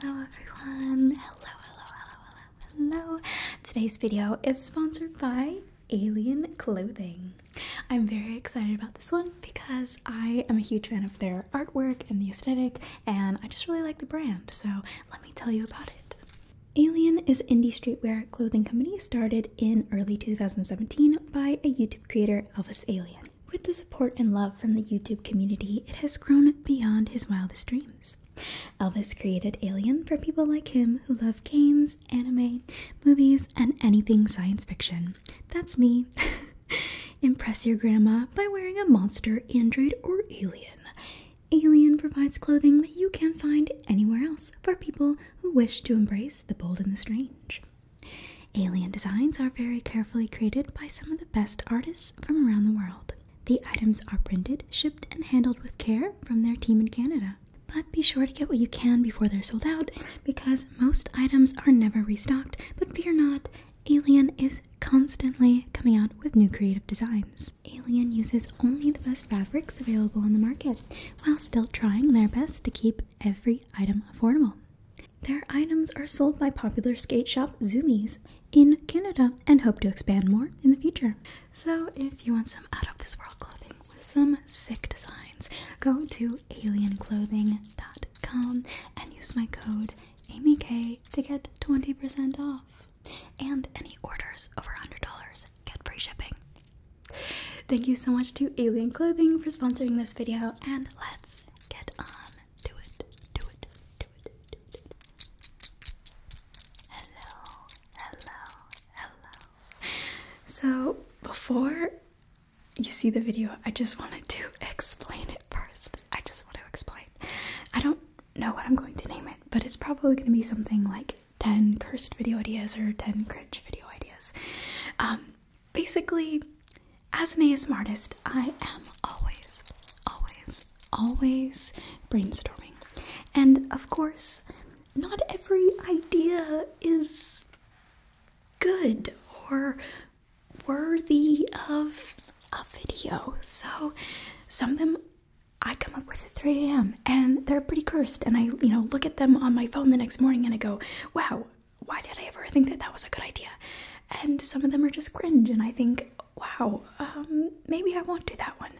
Hello everyone! Hello, hello, hello, hello, hello! Today's video is sponsored by Alien Clothing. I'm very excited about this one because I am a huge fan of their artwork and the aesthetic, and I just really like the brand, so let me tell you about it. Alien is indie streetwear clothing company started in early 2017 by a YouTube creator, Elvis Alien. With the support and love from the YouTube community, it has grown beyond his wildest dreams. Elvis created Alien for people like him who love games, anime, movies, and anything science fiction. That's me. Impress your grandma by wearing a monster, android, or alien. Alien provides clothing that you can't find anywhere else for people who wish to embrace the bold and the strange. Alien designs are very carefully created by some of the best artists from around the world. The items are printed, shipped, and handled with care from their team in Canada. But be sure to get what you can before they're sold out because most items are never restocked. But fear not, Alien is constantly coming out with new creative designs. Alien uses only the best fabrics available on the market while still trying their best to keep every item affordable. Their items are sold by popular skate shop Zoomies in Canada and hope to expand more in the future. So, if you want some out of this world clothing with some sick designs, go to alienclothing.com and use my code AmyK to get 20% off. And any orders over $100 get free shipping. Thank you so much to Alien Clothing for sponsoring this video, and let's get on do it, do it, do it, do it. Hello, hello, hello. So, before you see the video, I just wanted to explain it first. I just want to explain. I don't know what I'm going to name it, but it's probably going to be something like 10 cursed video ideas or 10 cringe video ideas. Um, basically, as an ASMR artist, I am always, always, always brainstorming. And of course, not every idea is good or worthy of a video. So some of them I come up with at 3 a.m. and they're pretty cursed. And I, you know, look at them on my phone the next morning and I go, wow, why did I ever think that that was a good idea? And some of them are just cringe. And I think, wow, um, maybe I won't do that one.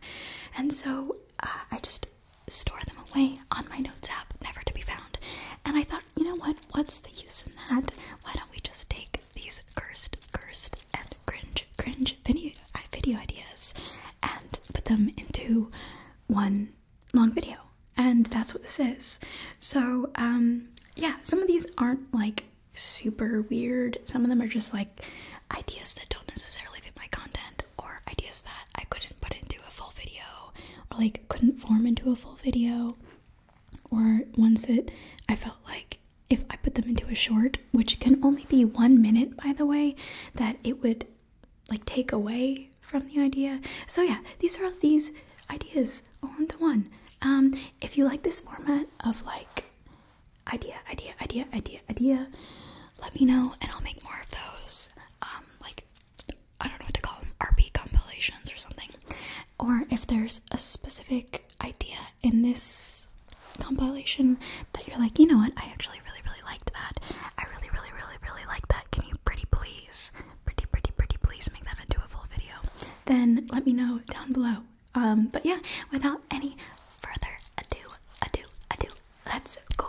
And so uh, I just store them away on my notes app, never to be found. And I thought, you know what? What's the use in that? Why don't we just take these cursed, cursed, and cringe, cringe video, uh, video ideas and put them into one long video? And that's what this is. So, um, yeah, some of these aren't like super weird. Some of them are just like ideas that don't necessarily fit my content or ideas that I couldn't put into a full video or like couldn't form into a full video or ones that I felt like if I put them into a short, which can only be one minute by the way, that it would like take away from the idea. So yeah, these are these ideas all into one. Um, if you like this format of like idea, idea, idea, idea, idea, let me know and I'll make more of those. Um, like I don't know what to call them, RP compilations or something. Or if there's a specific idea in this compilation that you're like, you know what, I actually really, really liked that. I really, really, really, really like that. Can you pretty please, pretty, pretty, pretty please make that into a full video? Then let me know down below but yeah, without any further ado, ado, ado, let's go.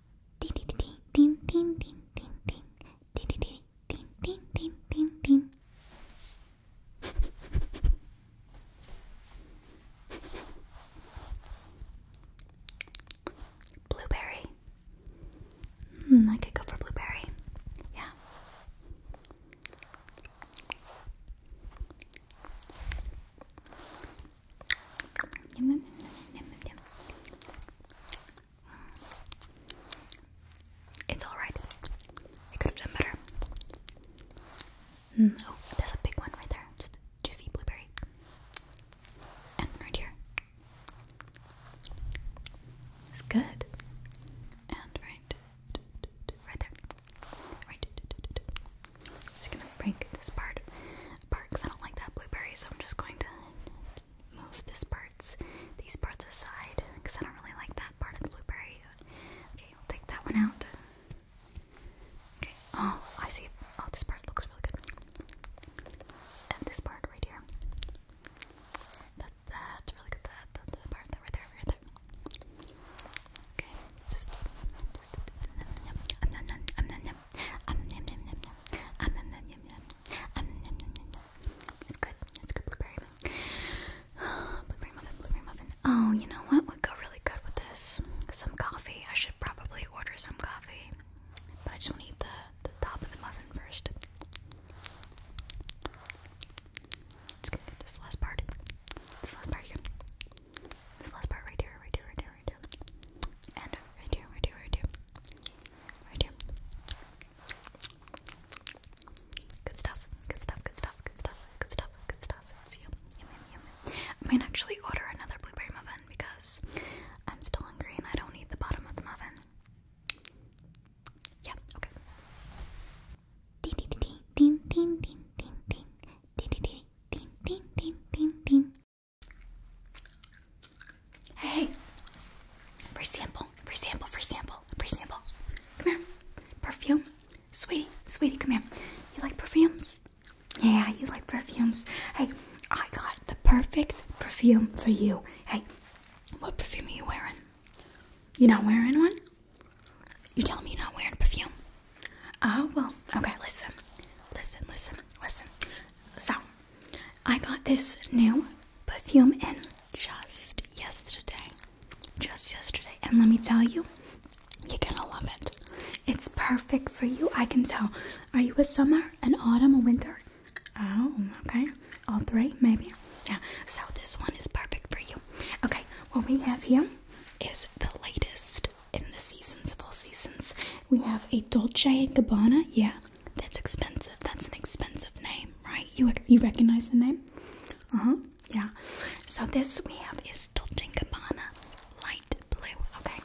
Ding ding ding ding ding ding ding ding ding ding ding ding ding Blueberry. Mm, I could go for blueberry. Yeah. It's alright. I could have done better. Mm, oh, there's a big one right there. juicy blueberry. And right here. It's good. And right. Right there. Right. I'm just gonna break this part apart because I don't like that blueberry, so I'm just going to move this parts, these parts aside, because I don't really like that part of the blueberry. Okay, we'll take that one out. Okay, oh, I see. Oh, this part looks really good. And this part right here. that's really good. That, that, that part right there, right there. Okay, it's good. It's good blueberry muffin. blueberry muffin, blueberry muffin. Oh, you know what would go really good with this? Some coffee. I should probably order some coffee. But I just want to eat the, the top of the muffin first. Just going this last part. This last part here. This last part right here, right here, right here, right here. And right here, right here, right here. Right here. Good stuff. Good stuff. Good stuff. Good stuff. Good stuff. Good stuff. It's yum. I might actually order another blueberry muffin because I'm still hungry and I don't need the bottom of the muffin. Yeah, okay. ding ding ding ding ding ding ding ding ding ding ding ding ding Hey, free sample, free sample, free sample, free sample. Come here. Perfume. Sweetie, sweetie, come here. You like perfumes? Yeah, you like perfumes. Hey, I got the perfect perfume for you. Hey, what perfume are you wearing? You not wearing one? You telling me you're not wearing perfume? Oh, well, okay, listen. Listen, listen, listen. So, I got this new perfume in just yesterday. Just yesterday. And let me tell you, you're gonna love it. It's perfect for you, I can tell. Are you a summer, an autumn, or winter? Oh, okay. All three, maybe. Yeah, so this one is perfect for you. Okay, what we have here is the latest in the seasons of all seasons. We have a Dolce & Gabbana, yeah, that's expensive. That's an expensive name, right? You you recognize the name? Uh huh. Yeah. So this we have is Dolce & Gabbana light blue. Okay.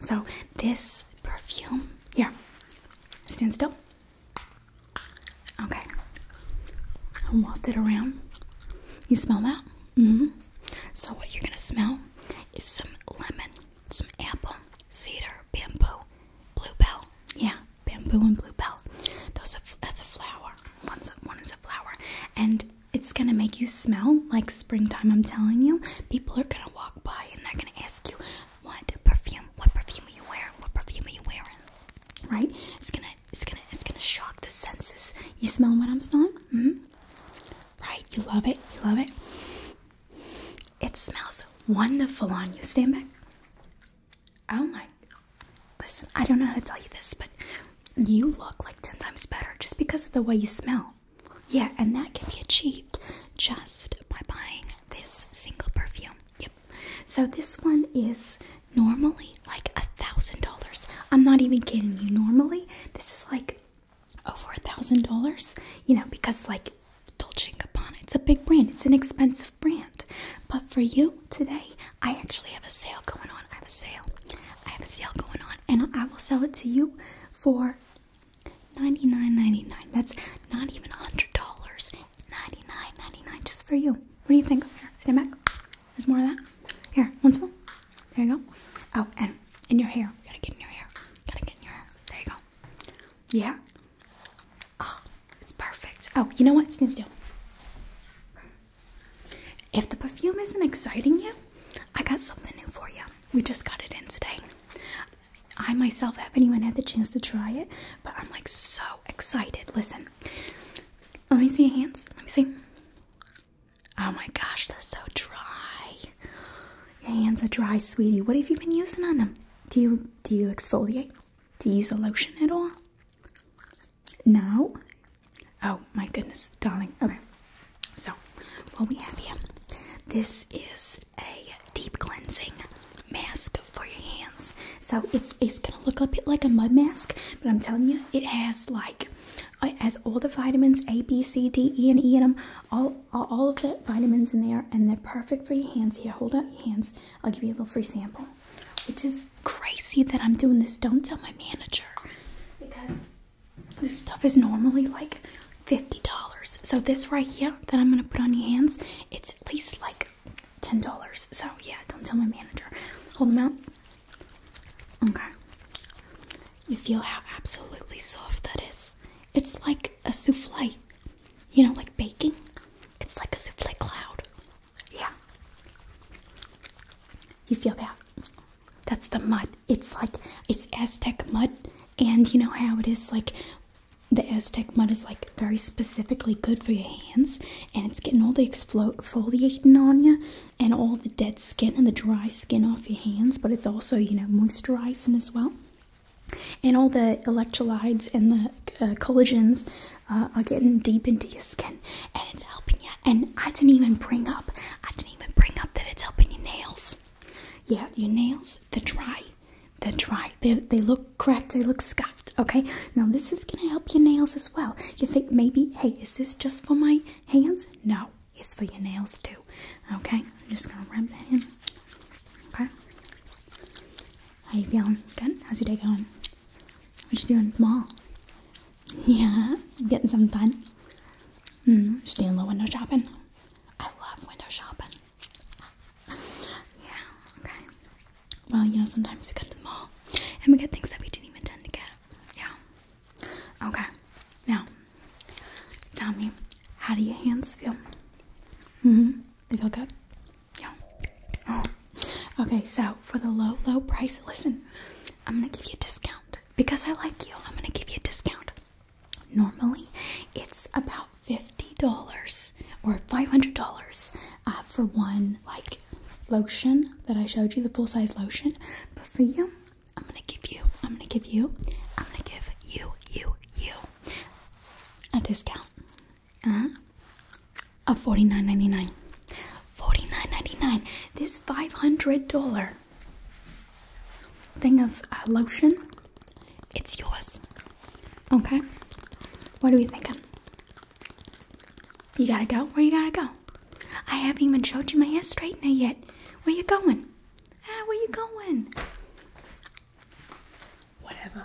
So this perfume here. Stand still. Okay. And waft it around. You smell that? Mm hmm So what you're gonna smell is some lemon some apple, cedar, bamboo, bluebell. Yeah, bamboo and bluebell. Those are, that's a flower. One's a, one is a flower, and it's gonna make you smell like springtime. I'm telling you, people are gonna walk by and they're gonna ask you, "What perfume? What perfume are you wearing? What perfume are you wearing?" Right? It's gonna, it's gonna, it's gonna shock the senses. You smell what I'm smelling? Mm hmm Right? You love it. You love it. It smells wonderful on you. Stand back. Oh my. Listen, I don't know how to tell you this, but you look like 10 times better just because of the way you smell. Yeah, and that can be achieved just by buying this single perfume. Yep. So this one is normally like a thousand dollars. I'm not even kidding you. Normally, this is like over a thousand dollars you know because like dolce & gabbana it's a big brand it's an expensive brand but for you today i actually have a sale going on i have a sale i have a sale going on and i will sell it to you for 99.99 that's not even a $100 $99.99 just for you what do you think here stand back there's more of that here once more there you go oh and in your hair you gotta get in your hair you gotta get in your hair there you go yeah? Oh, it's perfect. Oh, you know what? You can still. If the perfume isn't exciting you, I got something new for you. We just got it in today. I myself haven't even had the chance to try it, but I'm like so excited. Listen, let me see your hands. Let me see. Oh my gosh, they're so dry. Your hands are dry, sweetie. What have you been using on them? do you do you exfoliate? Do you use a lotion at all? No. Oh my goodness, darling. Okay. So, what we have here, this is a deep cleansing mask for your hands. So it's it's gonna look a bit like a mud mask, but I'm telling you, it has like uh, it has all the vitamins A, B, C, D, E, and E in them, all all of the vitamins in there, and they're perfect for your hands. Here, hold out your hands. I'll give you a little free sample. Which is crazy that I'm doing this. Don't tell my manager because this stuff is normally like $50. So this right here that I'm gonna put on your hands, it's at least like $10. So yeah, don't tell my manager. Hold them out. Okay. You feel how absolutely soft that is. It's like a souffle. You know, like baking. It's like a souffle cloud. Yeah. You feel that? That's the mud. It's like, it's Aztec mud. And you know how it is like, the Aztec mud is like very specifically good for your hands. And it's getting all the exfoliating on you and all the dead skin and the dry skin off your hands. But it's also, you know, moisturizing as well. And all the electrolytes and the uh, collagens uh, are getting deep into your skin and it's helping you. And I didn't even bring up, I didn't even bring up that it's helping your nails. Yeah, your nails, they're dry. They're dry. They, they look cracked. They look scuffed. Okay. Now this is going to help your nails as well. You think maybe, hey, is this just for my hands? No, it's for your nails too. Okay. I'm just going to rub that in. Okay. How you feeling? Good? How's your day going? What you doing mall? Yeah, getting some fun. Mm, just doing a little window shopping. I love window shopping. yeah, okay. Well, you know, sometimes we go to the mall and we get things that we didn't even tend to get. Yeah. Okay. Now, Tommy, how do your hands feel? Mm-hmm. They feel good? Yeah. Oh. Okay, so for the low, low price, listen, I'm gonna give you a discount. Because I like you, I'm gonna give you a discount. Normally, it's about $50 or $500 uh, for one, like, lotion that I showed you, the full-size lotion. But for you, I'm gonna give you, I'm gonna give you, I'm gonna give you, you, you a discount uh-huh. of $49.99. $49.99. This $500 thing of uh, lotion, it's yours. Okay? What are we thinking? You gotta go? Where you gotta go? I haven't even showed you my hair straightener yet. Where you going? Ah, where you going? Whatever.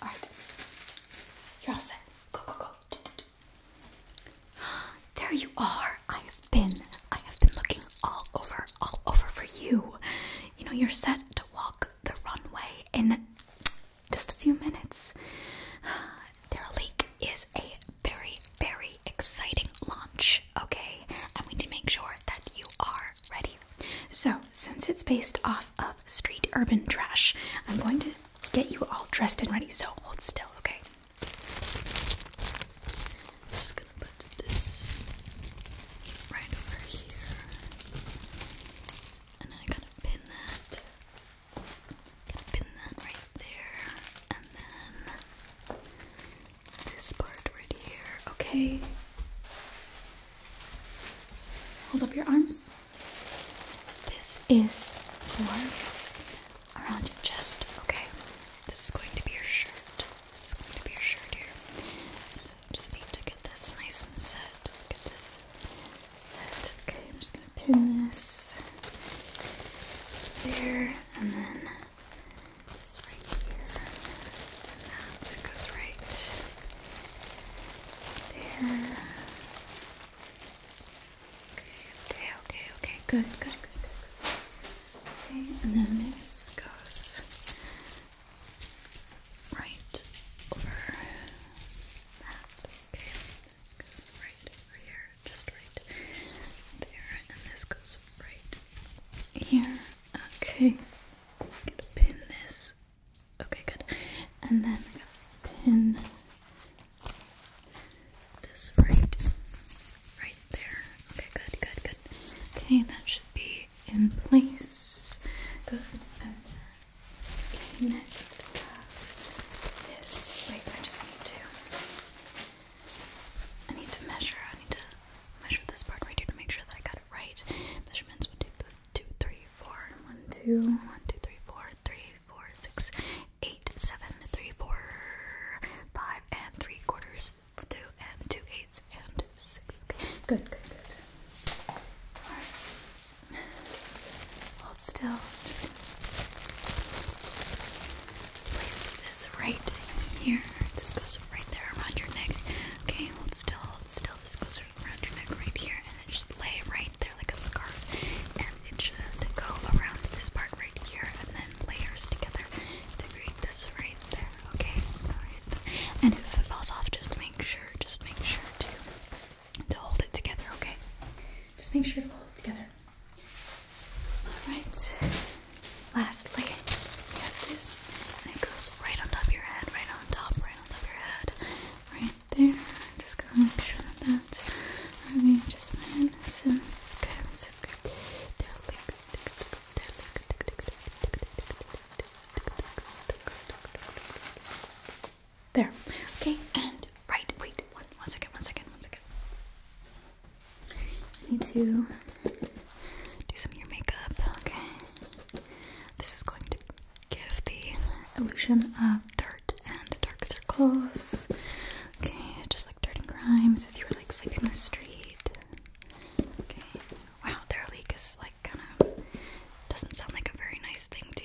Alright. You're all set. Go go go. There you are. I have been I have been looking all over all over for you. You know, you're set to walk the runway in just a few minutes. Daryl is a very, very exciting launch, okay? And we need to make sure that you are ready. So, since it's based off of street urban trash, I'm going to get you all dressed and ready, so hold still, okay? just gonna put this right over here. And then I got pin that Pin that right there, and then this part right here. Okay. Hold up your arms. This is for around your chest. Okay. This is going to be your shirt. This is going to be your shirt here. So I just need to get this nice and set. Get this set. Okay, I'm just gonna pin this there, and then this right here, that goes right there. Okay, okay, okay, okay, good, good, good, good. Okay, and then this goes right over that goes right over here, just right there, and this goes right here. Okay, gonna pin this. Okay, good. And then pin this right, right there. Okay, good, good, good. Okay, that should be in place. Good. Okay, next we have this. Wait, I just need to. I need to measure. I need to measure this part right here to make sure that I got it right. Measurements: one, two, th two, three, four. One, two, one, two, three, four, three, four, six, eight, seven, three, four, five, and three quarters. Two and two eighths and six. Okay, good, good, good. Hold still. just gonna place this right here. This goes right there around your neck. Okay, hold still, hold still. This goes around your neck right here, and it should lay right there like a scarf. And it should go around this part right here, and then layers together to create this right there. Okay, alright. And if it falls off, just make sure, just make sure to to hold it together, okay? Just make sure you hold it together. Alright. Lastly, you have this. And it goes right on top of your head, right on top, right on top of your head. Right there. Just gonna make sure that that's already just fine. okay, so good. There. Okay, and right. Wait, one, one second, one second, one second. I need to do some of your makeup. Okay. This is going to give the illusion of dirt and dark circles. Okay, just like dirt and grime. So if you were like sleeping in the street. Okay. Wow, Derelique is like kind of doesn't sound like a very nice thing to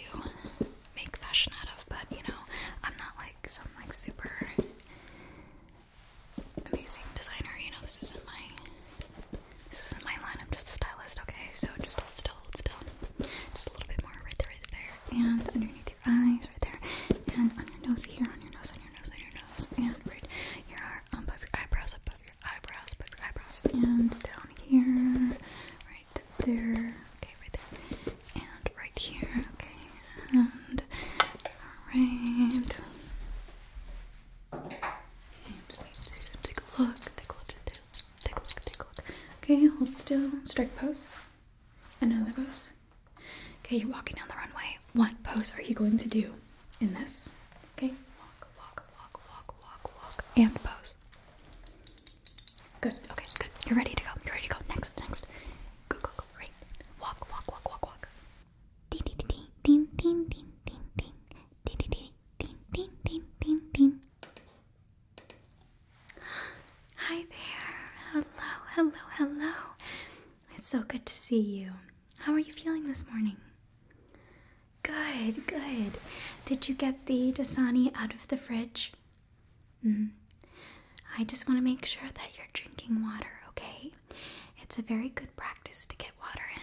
make fashion out of, but you know, I'm not like some like super amazing designer, you know, this isn't my this isn't my line, I'm just a stylist, okay? So just hold still, hold still. Just a little bit more right there, right there, and underneath your eyes, right there, and on your nose here, on your nose, on your nose, on your nose, and right here above your eyebrows, above your eyebrows, above your eyebrows, and down here, right there. Okay, right there. And right here. Okay. And alright. take a look. Take a look. Take a look. Take a look. Okay, hold still. Strike pose. Another pose. Okay, you're walking down the runway. What pose are you going to do in this? Okay, walk, walk, walk, walk, walk, walk, and pose. Good. Okay, good. You're ready to go. You're ready to go. Next, next. Go, go, go. Right. Walk, walk, walk, walk, walk. Ding, ding, ding, ding, ding, ding, ding, ding, ding, ding, ding, ding, ding, ding, ding. Hi there. Hello, hello, hello. It's so good to see you. How are you feeling this morning? Good, good. Did you get the Dasani out of the fridge? Mm. I just want to make sure that you're drinking water, okay? It's a very good practice to get water in.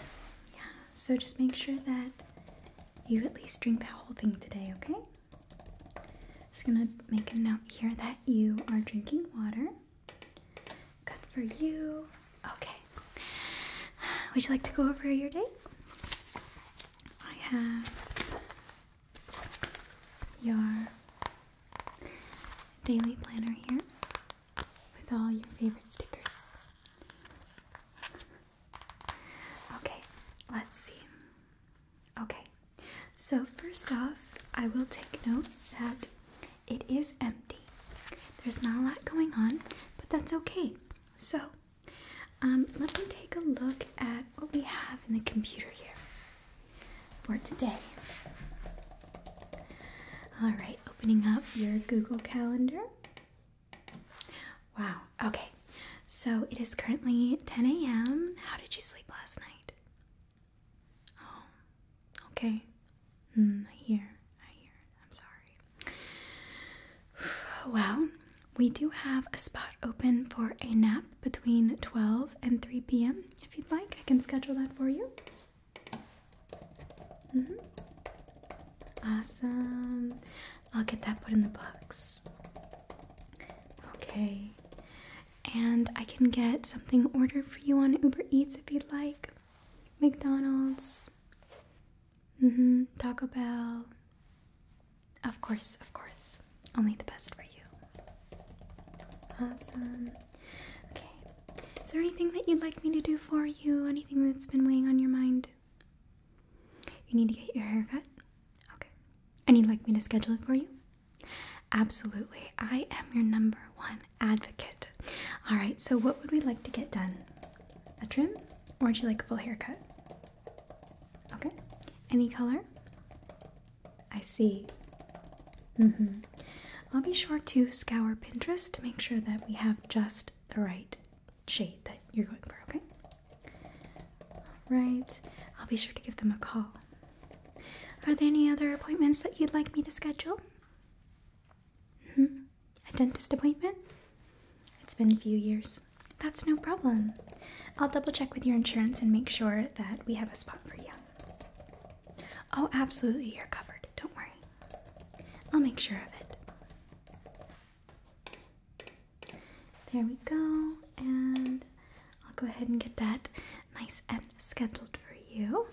Yeah, so just make sure that you at least drink the whole thing today, okay? Just gonna make a note here that you are drinking water. Good for you. Okay. Would you like to go over your day? I have your daily planner here with all your favorite stickers. Okay, let's see. Okay, so first off, I will take note that it is empty. There's not a lot going on, but that's okay. So um, let me take a look at what we have in the computer here for today. Alright, opening up your Google Calendar. Wow, okay. So it is currently 10 a.m. How did you sleep last night? Oh, okay. Mm, I hear. I hear. I'm sorry. Well, we do have a spot open for a nap between 12 and 3 p.m. If you'd like, I can schedule that for you. Mm-hmm. Awesome. I'll get that put in the books. Okay. And I can get something ordered for you on Uber Eats if you'd like. McDonald's. Mm-hmm. Taco Bell. Of course, of course. Only the best for you. Awesome. Okay. Is there anything that you'd like me to do for you? Anything that's been weighing on your mind? You need to get your hair cut? Okay. And you'd like me to schedule it for you? Absolutely. I am your number one advocate. All right, so what would we like to get done? A trim? Or would you like a full haircut? Okay. Any color? I see. Mm-hmm. I'll be sure to scour Pinterest to make sure that we have just the right shade that you're going for, okay? Alright. I'll be sure to give them a call. Are there any other appointments that you'd like me to schedule? hmm. A dentist appointment? It's been a few years. That's no problem. I'll double check with your insurance and make sure that we have a spot for you. Oh, absolutely, you're covered. Don't worry. I'll make sure of it. There we go, and I'll go ahead and get that nice and scheduled for you.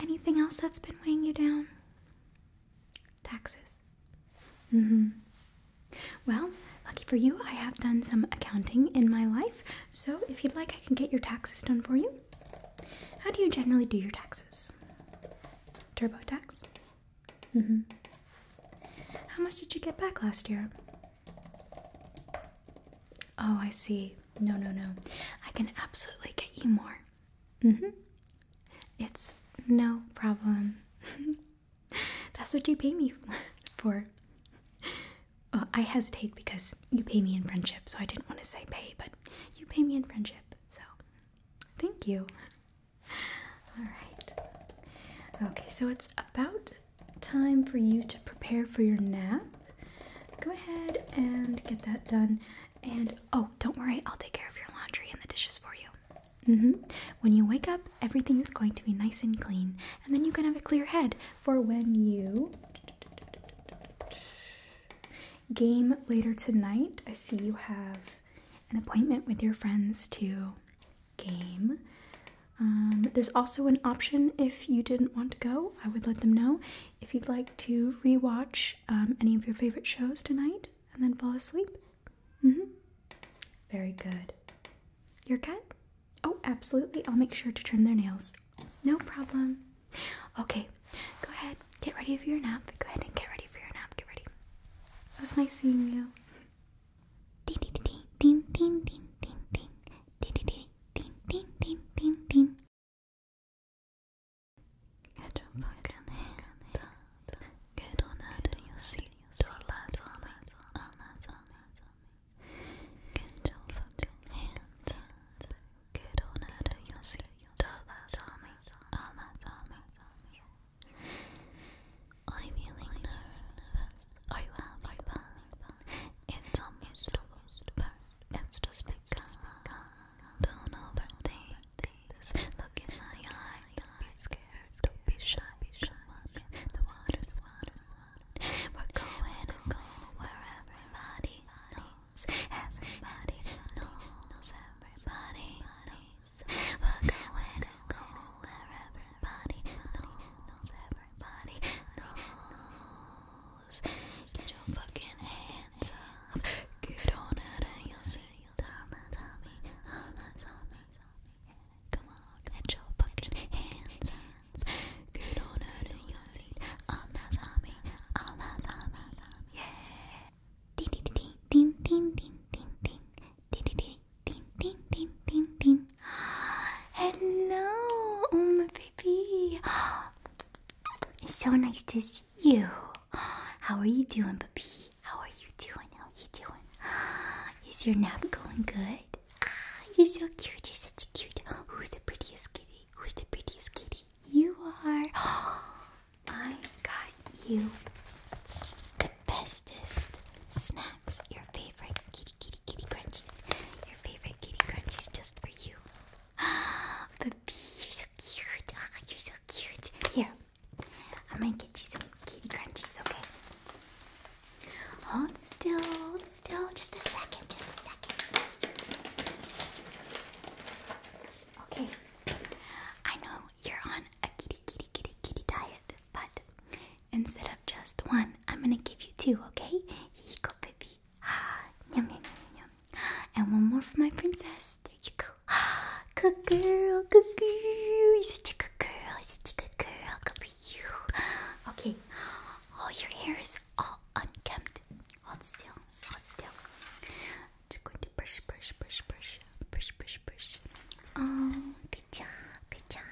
Anything else that's been weighing you down? Taxes. Mm hmm. Well, lucky for you, I have done some accounting in my life, so if you'd like, I can get your taxes done for you. How do you generally do your taxes? TurboTax? Mm hmm. How much did you get back last year? Oh, I see. No, no, no. I can absolutely get you more. Mm hmm. It's no problem. That's what you pay me for. I hesitate because you pay me in friendship, so I didn't want to say pay, but you pay me in friendship, so thank you. Alright. Okay, so it's about time for you to prepare for your nap. Go ahead and get that done. And oh, don't worry, I'll take care of your laundry and the dishes for you. Mm-hmm. When you wake up, everything is going to be nice and clean, and then you can have a clear head for when you game later tonight. I see you have an appointment with your friends to game. Um, there's also an option if you didn't want to go, I would let them know. If you'd like to rewatch um, any of your favorite shows tonight and then fall asleep, hmm. Very good. Your cat? Oh, absolutely. I'll make sure to trim their nails. No problem. Okay, go ahead. Get ready for your nap. Go ahead and get ready for your nap. Get ready. It was nice seeing you. ding ding ding ding ding ding ding ding ding ding ding. Get on out of your seat, your lads on it, on that on it. Get your fucking hands out. Get on out of your seat, your lads on it, on that on it. I'm feeling nervous. Are you happy? It's almost almost first. It's just begun. Don't overthink this. Look in my eye. Don't be shy. Be shy. the water's water's We're going to go where everybody knows. Everybody knows. Everybody knows. We're going to go where everybody knows. Everybody knows. Get your fucking hands up. Get on it and you'll see. Tell me, tell me, tell me ding ding ding ding ding ding ding ding ding ding ding ding ding ding. Hello, oh my baby. It's so nice to see you. How are you doing, baby? How are you doing? How are you doing? Is your nap going good? Ah, you're so cute. You're such a cute. Who's the prettiest kitty? Who's the prettiest kitty? You are. I got you the bestest snacks. Your favorite kitty, kitty, kitty crunchies. Your favorite kitty crunchies just for you. Ah, baby, you're so cute. Ah, you're so cute. Here, I am gonna get you some kitty crunchies, okay? Hold still, hold still, just a second, just a second. Okay, I know you're on a kitty, kitty, kitty, kitty diet, but instead of just one, I'm gonna give you two, okay? Here you go, baby. Ah, yum, yum, yum, yum. And one more for my princess. There you go. Ah, girl, good You're such a good girl. Such a good girl. Good for you. Okay. All your hair is all unkempt. Hold still. Hold still. I'm just going to brush, brush, brush, brush, brush, brush, brush. Oh, good job. Good job.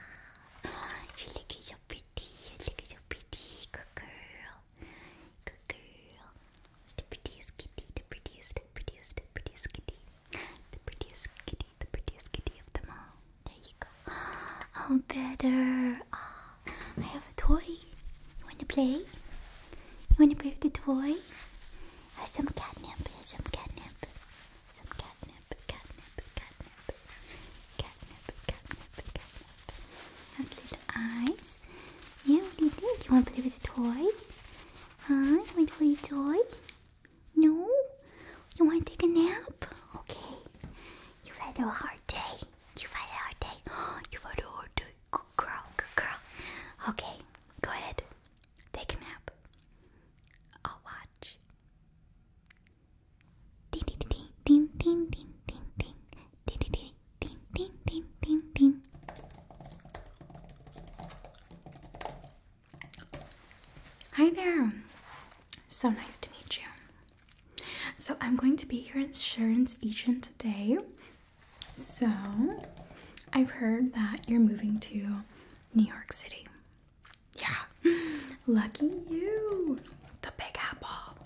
Your look is so pretty. Your look is so pretty. Good girl. Good girl. The prettiest kitty. The prettiest, the prettiest, the prettiest kitty. The prettiest kitty, the prettiest kitty of them all. There you go. Oh, better. Oh, I have a toy. You want to play? You want to play with the toy? Uh, some catnip, some catnip, some catnip, catnip, catnip, catnip, catnip, catnip. Has little eyes. Yeah, what do you think? You want to play with the toy? Huh? You want to play with the toy? No? You want to take a nap? Okay. You've had a hard day. You've had a hard day. you had a hard day. Good girl, good girl. Okay, go ahead. Take a nap. I'll watch. ding ding ding ding ding ding ding ding ding ding ding ding ding Hi there. So nice to meet you. So, I'm going to be your insurance agent today. So, I've heard that you're moving to New York City. Yeah. Lucky you. The Big Apple.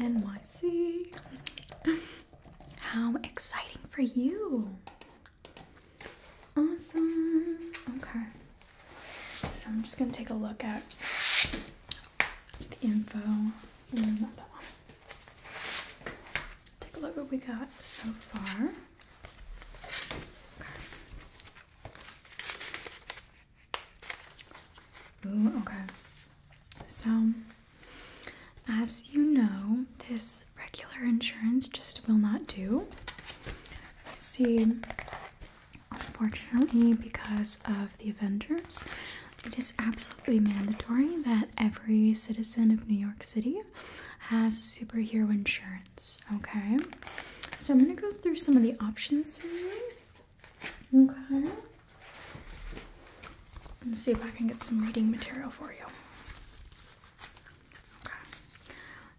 NYC. How exciting for you. Awesome. Okay. So I'm just going to take a look at the info Take a look what we got so far. Okay. Ooh, okay. So, as you know, this regular insurance just will not do. See, unfortunately, because of the Avengers, it is absolutely mandatory that every citizen of New York City has superhero insurance. Okay, so I'm gonna go through some of the options for you. Okay, let's see if I can get some reading material for you.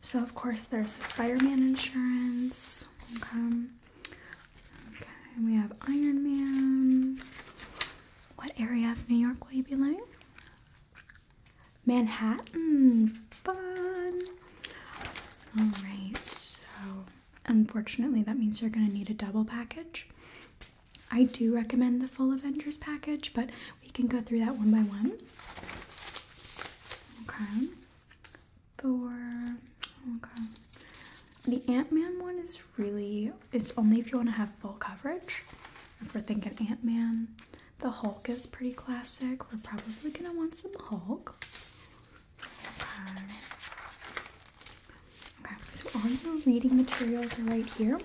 So of course there's the Spider-Man insurance. Okay. Okay, we have Iron Man. What area of New York will you be living? Manhattan. Fun. Alright, so unfortunately that means you're gonna need a double package. I do recommend the full Avengers package, but we can go through that one by one. Okay. Thor. Okay. The Ant Man one is really, it's only if you want to have full coverage. If we're thinking Ant Man, the Hulk is pretty classic. We're probably going to want some Hulk. Okay. Okay, so all your reading materials are right here,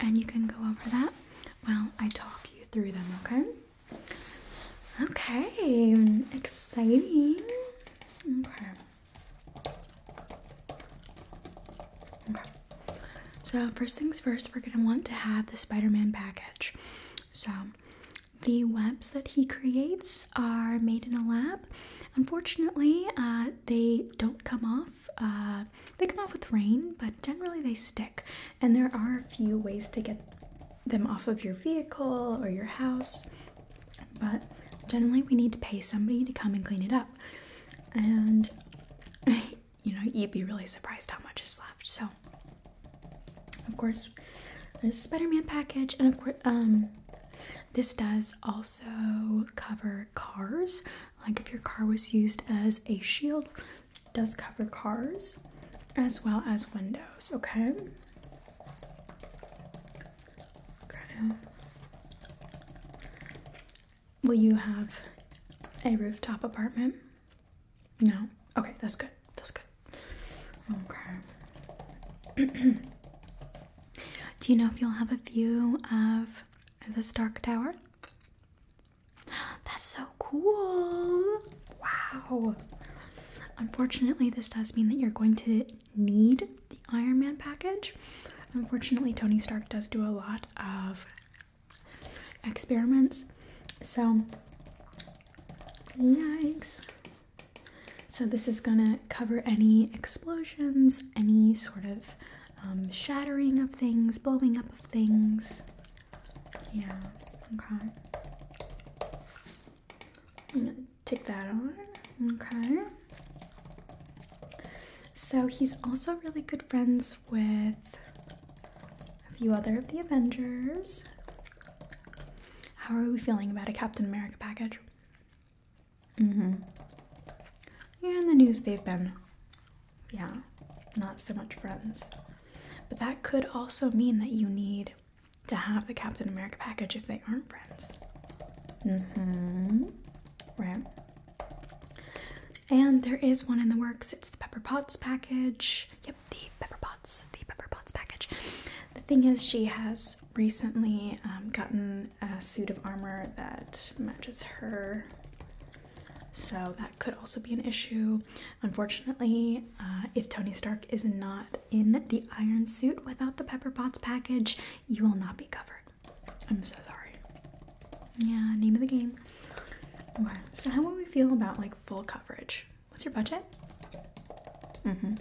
and you can go over that. Well, I talk you through them, okay? Okay, exciting. Okay. So first things first, we're gonna want to have the Spider-Man package. So the webs that he creates are made in a lab. Unfortunately, uh, they don't come off uh, they come off with rain, but generally they stick. And there are a few ways to get them off of your vehicle or your house, but generally we need to pay somebody to come and clean it up. And you know, you'd be really surprised how much is left. So, of course, there's a Spider Man package, and of course, um, this does also cover cars. Like if your car was used as a shield, does cover cars as well as windows, okay? Okay. Will you have a rooftop apartment? No? Okay, that's good. That's good. Okay. Do you know if you'll have a view of the Stark Tower? That's so cool. Wow. Unfortunately, this does mean that you're going to need the Iron Man package. Unfortunately, Tony Stark does do a lot of experiments. So, yikes. So, this is gonna cover any explosions, any sort of um, shattering of things, blowing up of things. Yeah, okay. i that on. Okay. So he's also really good friends with a few other of the Avengers. How are we feeling about a Captain America package? Mm-hmm. Yeah, in the news they've been yeah, not so much friends. But that could also mean that you need to have the Captain America package if they aren't friends. Mm-hmm. Right. And there is one in the works. It's the Pepper Potts package. Yep, the Pepper Potts, the Pepper Potts package. The thing is, she has recently um, gotten a suit of armor that matches her so that could also be an issue. Unfortunately, uh, if Tony Stark is not in the iron suit without the Pepper Potts package, you will not be covered. I'm so sorry. Yeah, name of the game. Okay, so how would we feel about like full coverage? What's your budget? Mm-hmm.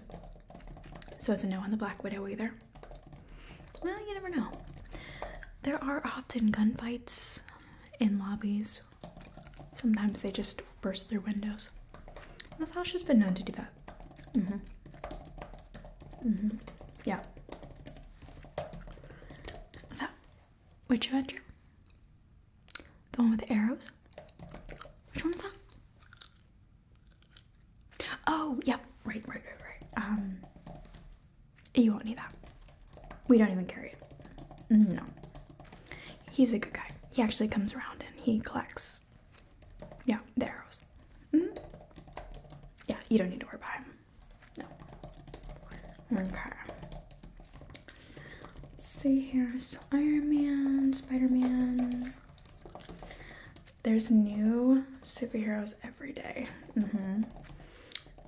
So it's a no on the Black Widow either. Well, you never know. There are often gunfights in lobbies. Sometimes they just burst through windows. This house has been known to do that. Mm-hmm. Mm-hmm. Yeah. Is that which adventure? The one with the arrows? Which one is that? Oh, yeah. Right, right, right, right. Um, you won't need that. We don't even carry it. No. He's a good guy. He actually comes around and he collects, yeah, the arrows. Mm -hmm. Yeah, you don't need to worry about him. No. Okay. see here. Iron Man, Spider Man. There's new superheroes every day. Mm -hmm.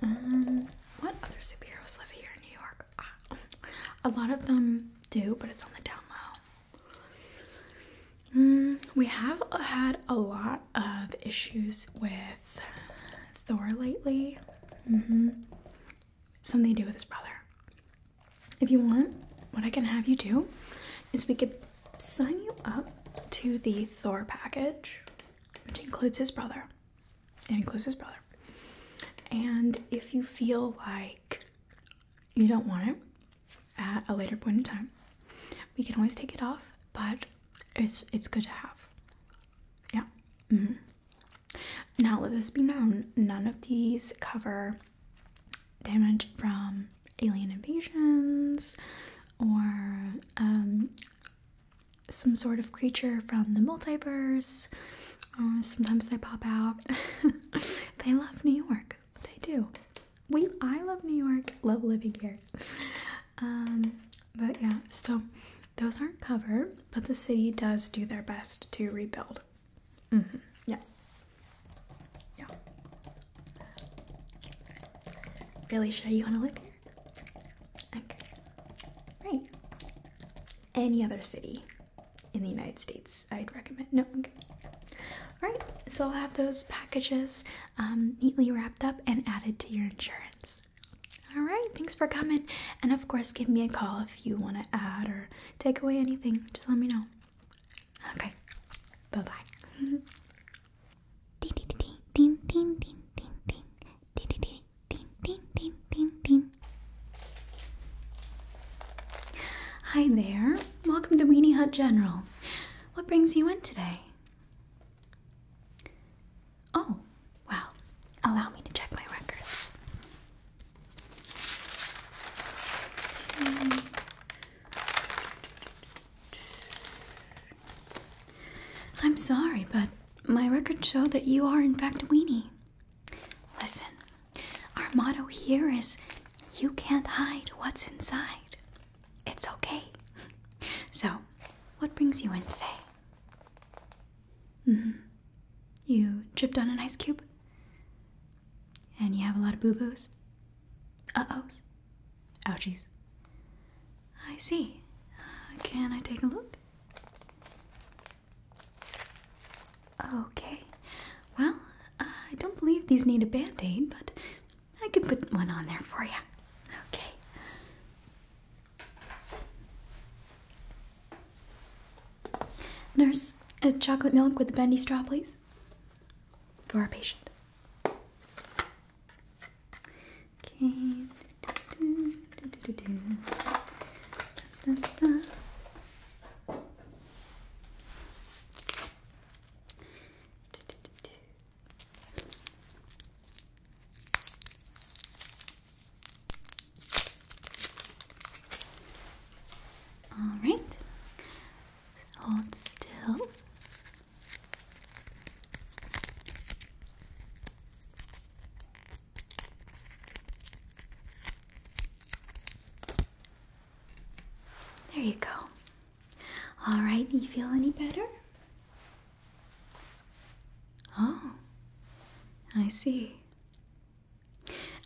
Um, what other superheroes live here in New York? Ah, a lot of them do, but it's on the down low. Hmm, we have had a lot of issues with Thor lately. Mm-hmm. Something to do with his brother. If you want, what I can have you do is we could sign you up to the Thor package, which includes his brother. It includes his brother. And if you feel like you don't want it at a later point in time, we can always take it off, but it's it's good to have. Yeah. Mm-hmm. Now let this be known: none of these cover damage from alien invasions or um, some sort of creature from the multiverse. Uh, sometimes they pop out. they love New York. They do. We I love New York. Love living here. Um, but yeah, so those aren't covered, but the city does do their best to rebuild. Mm-hmm. Yeah. Yeah. Really sure you want to live here? Okay. Right. Any other city in the United States, I'd recommend. No, okay. Alright, so I'll have those packages um, neatly wrapped up and added to your insurance. Alright, thanks for coming. And of course, give me a call if you want to add or take away anything. Just let me know. Okay, bye bye. ding ding ding ding ding ding ding ding ding Ding, ding, ding, ding, ding. Hi there. Welcome to Weenie Hut General. What brings you in today? Oh, wow. Allow me to check my records. Hmm. I'm sorry, but my records show that you are, in fact, a weenie. Listen, our motto here is you can't hide what's inside. It's okay. So, what brings you in today? Mm hmm. You tripped on an ice cube? And you have a lot of boo boos? Uh ohs? Ouchies. I see. Uh, can I take a look? Okay. Well, uh, I don't believe these need a band aid, but I could put one on there for you. Okay. Nurse, a chocolate milk with a bendy straw, please. For our patient. Okay. Do, do, do, do, do, do. Da, da, da. Do, do, do, do. All right. Hold still. There you go. All right, do you feel any better? Oh, I see.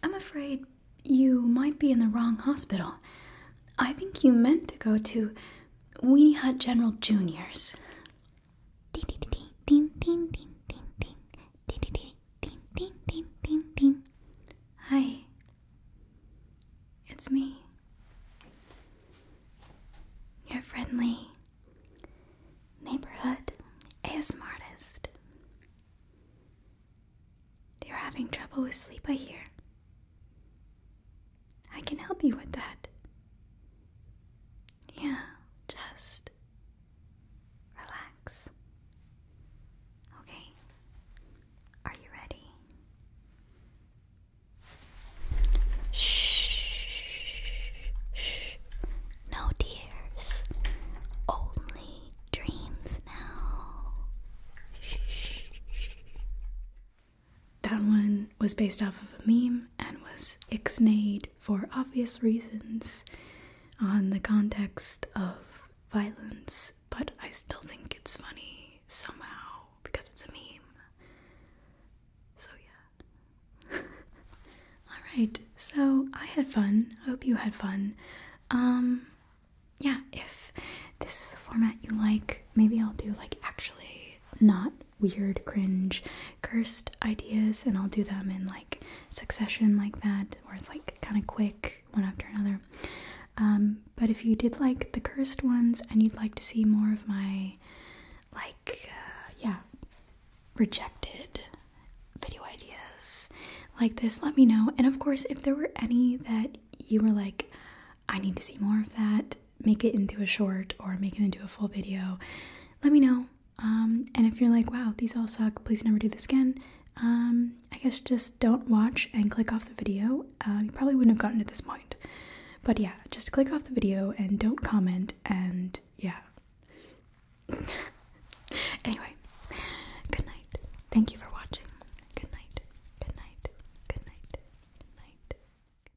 I'm afraid you might be in the wrong hospital. I think you meant to go to Weenie Hut General Jr.'s. Ding ding ding ding ding ding ding ding ding ding ding ding ding ding ding. Hi. It's me. Your friendly neighborhood ASM artist. You're having trouble with sleep, I hear. I can help you with that. Yeah, just relax. Okay, are you ready? Shh, shh. No tears, only dreams now. That one was based off of a meme and was ixnayed for obvious reasons on the context of violence, but I still think it's funny somehow because it's a meme. So, yeah. Alright, so I had fun. I hope you had fun. Um, yeah, if this is a format you like, maybe I'll do like actually not weird, cringe, cursed ideas, and I'll do them in like succession like that, where it's like kind of quick one after another. Um, but if you did like the cursed ones and you'd like to see more of my like uh, yeah rejected video ideas like this let me know and of course if there were any that you were like i need to see more of that make it into a short or make it into a full video, let me know. Um, and if you're like, wow, these all suck, please never do this again, um, I guess just don't watch and click off the video. Uh, you probably wouldn't have gotten to this point. But yeah, just click off the video and don't comment and yeah. anyway, good night. Thank you for watching. Good night. Good night. Good night. night.